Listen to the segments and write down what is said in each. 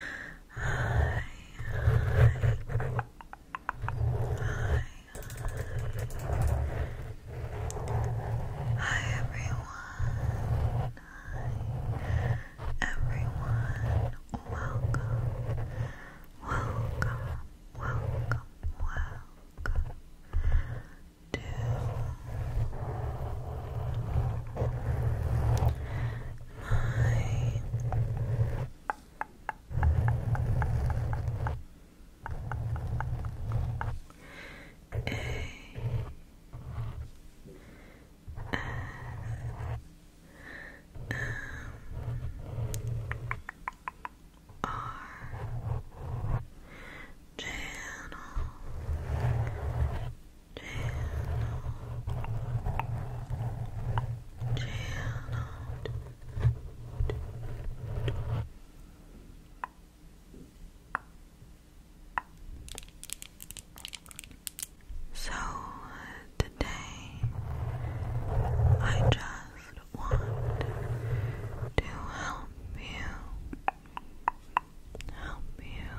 Hi, hi. Hi, hi. everyone. everyone. Welcome. Welcome. Welcome. Welcome. To mine. A Channel um, so today I just want to help you help you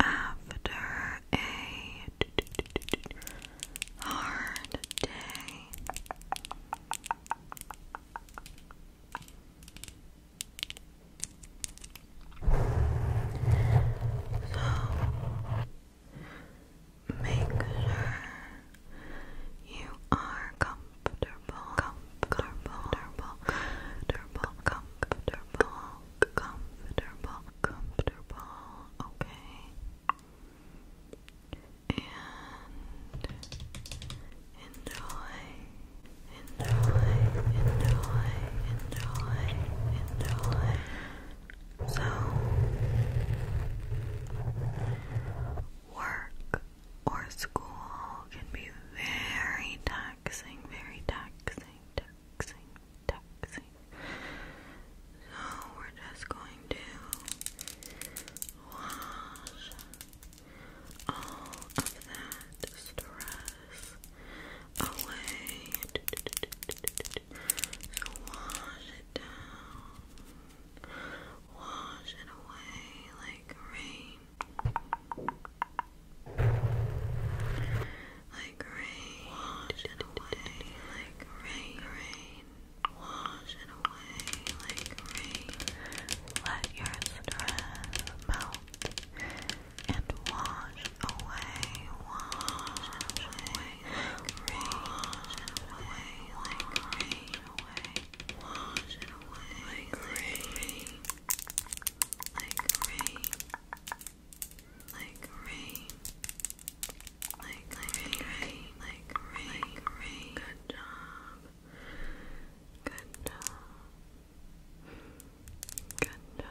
after a hard day. make sure you are comfortable okay. And enjoy, enjoy, enjoy, enjoy, enjoy. So work or school can be very taxing, very taxing, taxing, so we're just going to wash all of that stress away. So wash it down, wash it away like rain like rain, wash it away like rain, rain, wash it away like rain. Let your stress melt and wash away, wash away rain, wash away like rain, wash it away Like rain, like rain, like rain, rain, like rain, rain. Good job, good job, good job.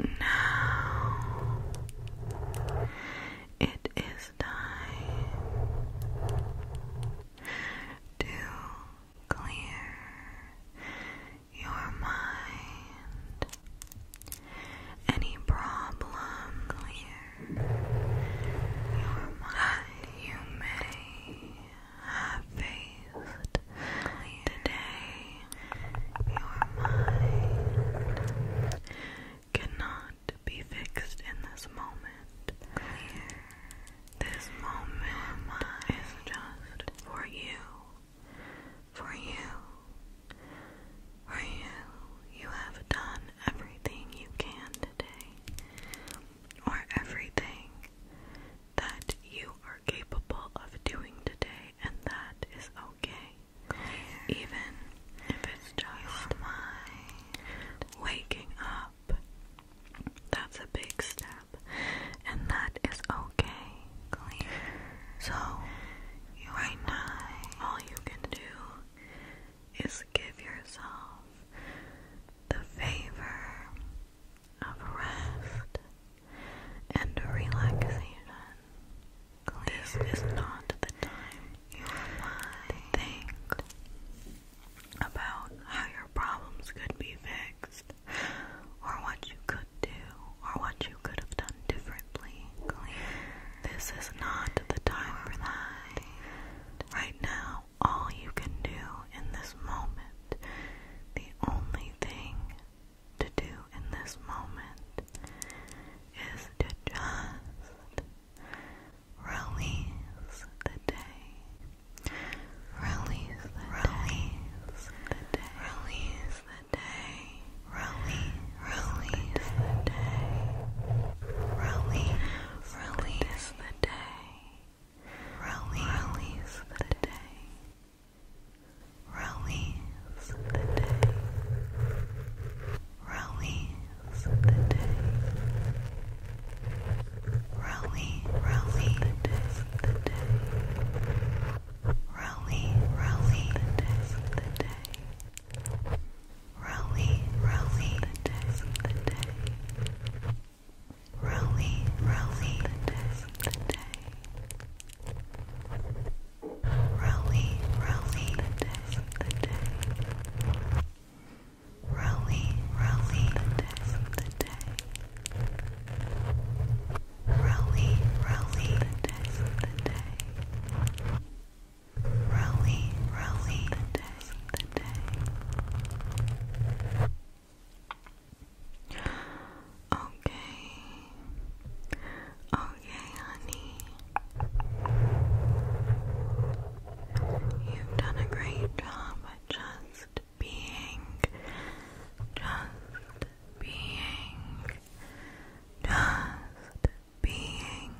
Now it is time to clear your mind. Any problem, clear your mind. You may have faced today your mind cannot be fixed in this moment. This moment is just for you. For you. For you. You have done everything you can today. Or everything that you are capable of doing today, and that is okay even if it's just my waking up. That's a big step, and that is okay. Clear. So, right now, all you can do is give yourself the favor of rest and relaxation. This is not the time you might think about how your problems could be fixed, or what you could do, or what you could have done differently. This is not the time for that. Right now, all you can do in this moment, the only thing to do in this moment is to just release the day. Release the release the day. Release the day. Release, release the day. Release, release the day. Release, release the day. Release the day. Release the day. Release, release the day. Release, release the day. Release, release the day. Release, release The day. Rolly, rolly, the test the day. Rolly, rolly, the test the day. Rolly, rolly, the test the day. Rolly, rolly, the test the day. Okay. Okay, honey. You've done a great job at just being, just being, just being.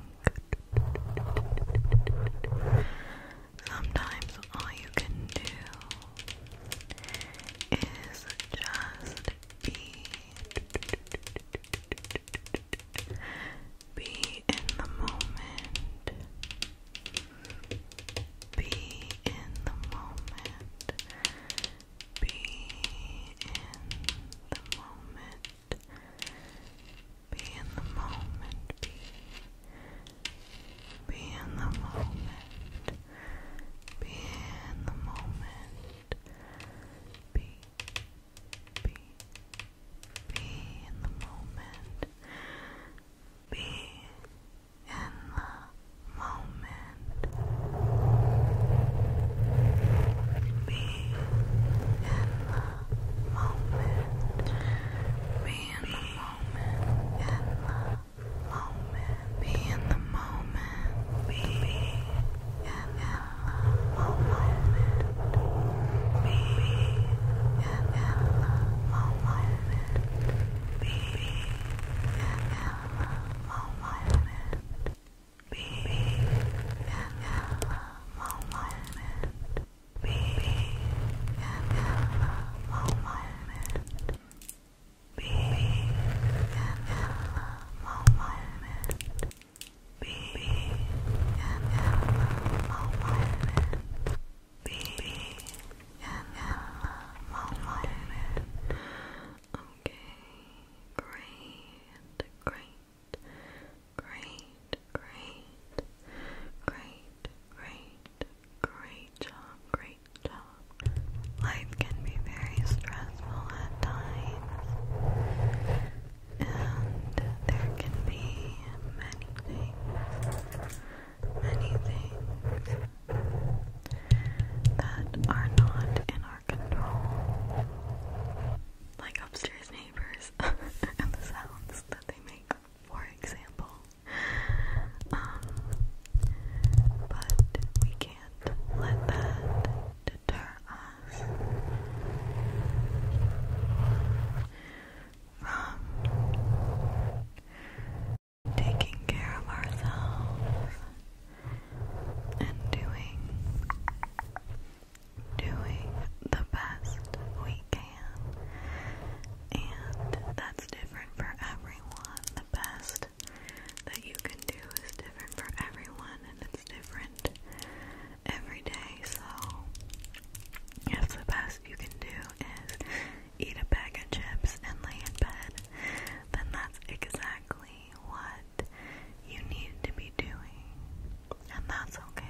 Sometimes all you can do is just be. Be in the moment. Be in the moment. Be in the moment. Be in the moment. Be, be in the moment. Be in the moment. Be, be, be in the moment. Be in the moment. Be in the moment. Be in the moment. In the moment. Be in the moment. Be in the moment. Be in the moment. Be in the moment. Be in the moment. Be in the moment. Be in the moment. Being in the moment. Being in the moment. Being Okay, great, great, great, great, great, great, great job, great job. Life can be very stressful at times, and there can be many things, many things that are not in our control, like upstairs neighbors and the sounds that they make, for example. Um, but we let that deter us from taking care of ourselves and doing doing the best we can and that's different for everyone the best that you can do is different for everyone and it's different every day. So, yes, the best you can do is eat a bag of chips and lay in bed. Then that's exactly what you need to be doing. And that's okay.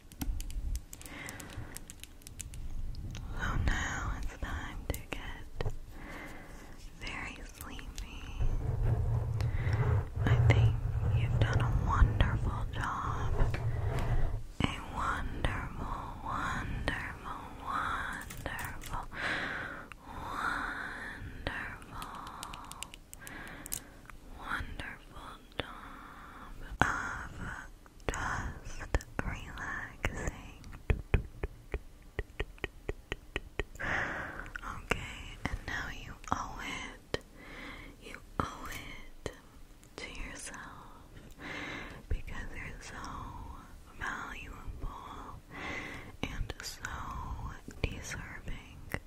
So now it's time to get very sleepy. I think you've done a wonderful job. A wonderful, wonderful, wonderful, wonderful, wonderful of just relaxing. Okay, and now you owe it. You owe it to yourself because you're so valuable and so deserving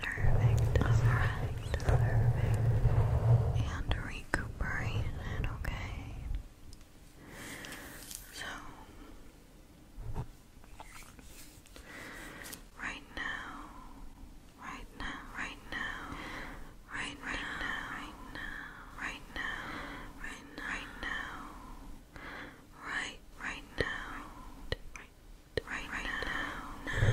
perfect, perfect, perfect, and recuperation, okay? So, right now, right now, right now, right right now, right now, right right now, right, right now, right, right now,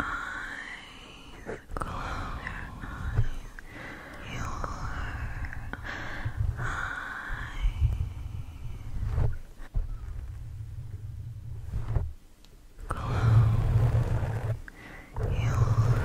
eyes, close your eyes, your eyes. Close your eyes. Close,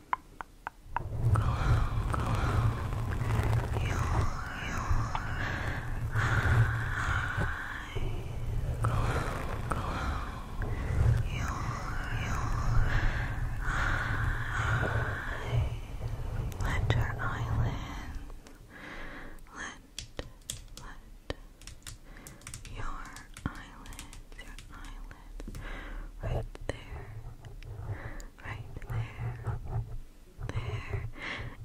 Let your eyelids let let your eyelids your eyelids right there right there, there,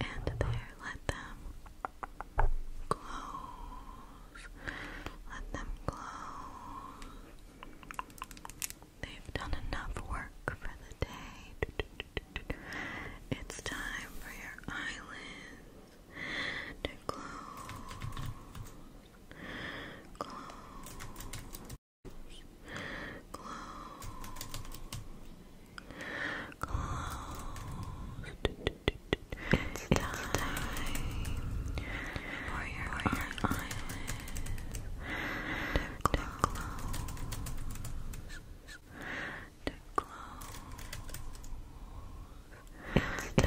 and there. Let them close. Let them close. They've done enough work for the day. It's time for your eyelids to close. Close. It's, it's time, for your, for to close. To close. It's time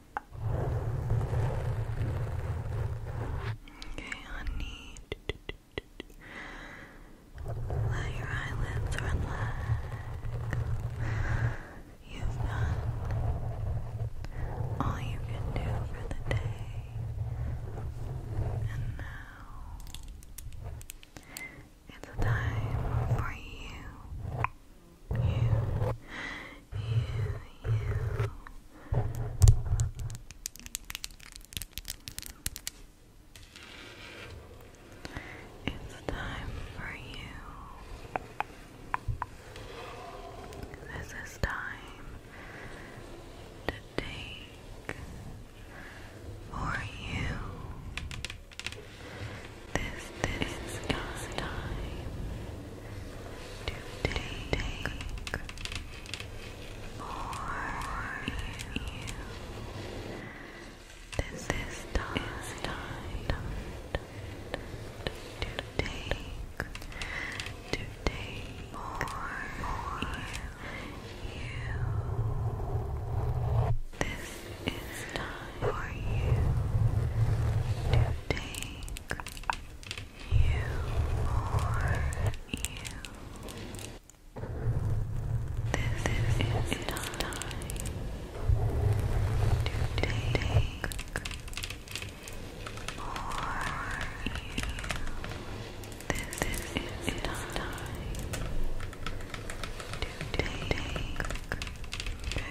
Okay, honey. Let your eyelids relax. You've done all you can do for the day. And now it's time for you you, you, you. It's time for you. This is time to take for you. This, this is time to take more you. This is time, to take to take more, more you. This is time for you to take. You are you. This is it time to take more you. This is it time to take.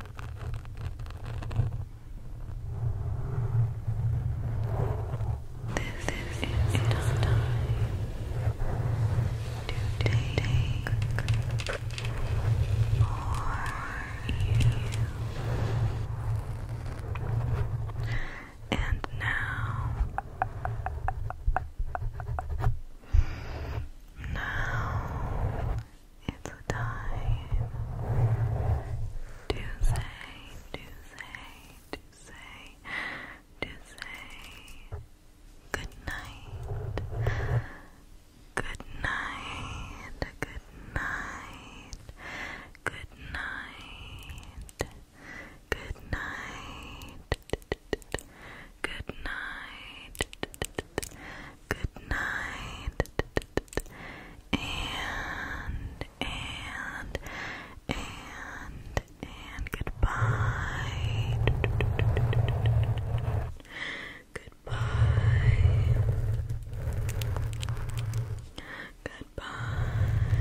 This, is enough time to take, you. And now, now it's time to say, to say, to say, to say Good night, good night, good night, good night. Good night. Good night. Good night. And, and, and, and goodbye. Goodbye. Goodbye.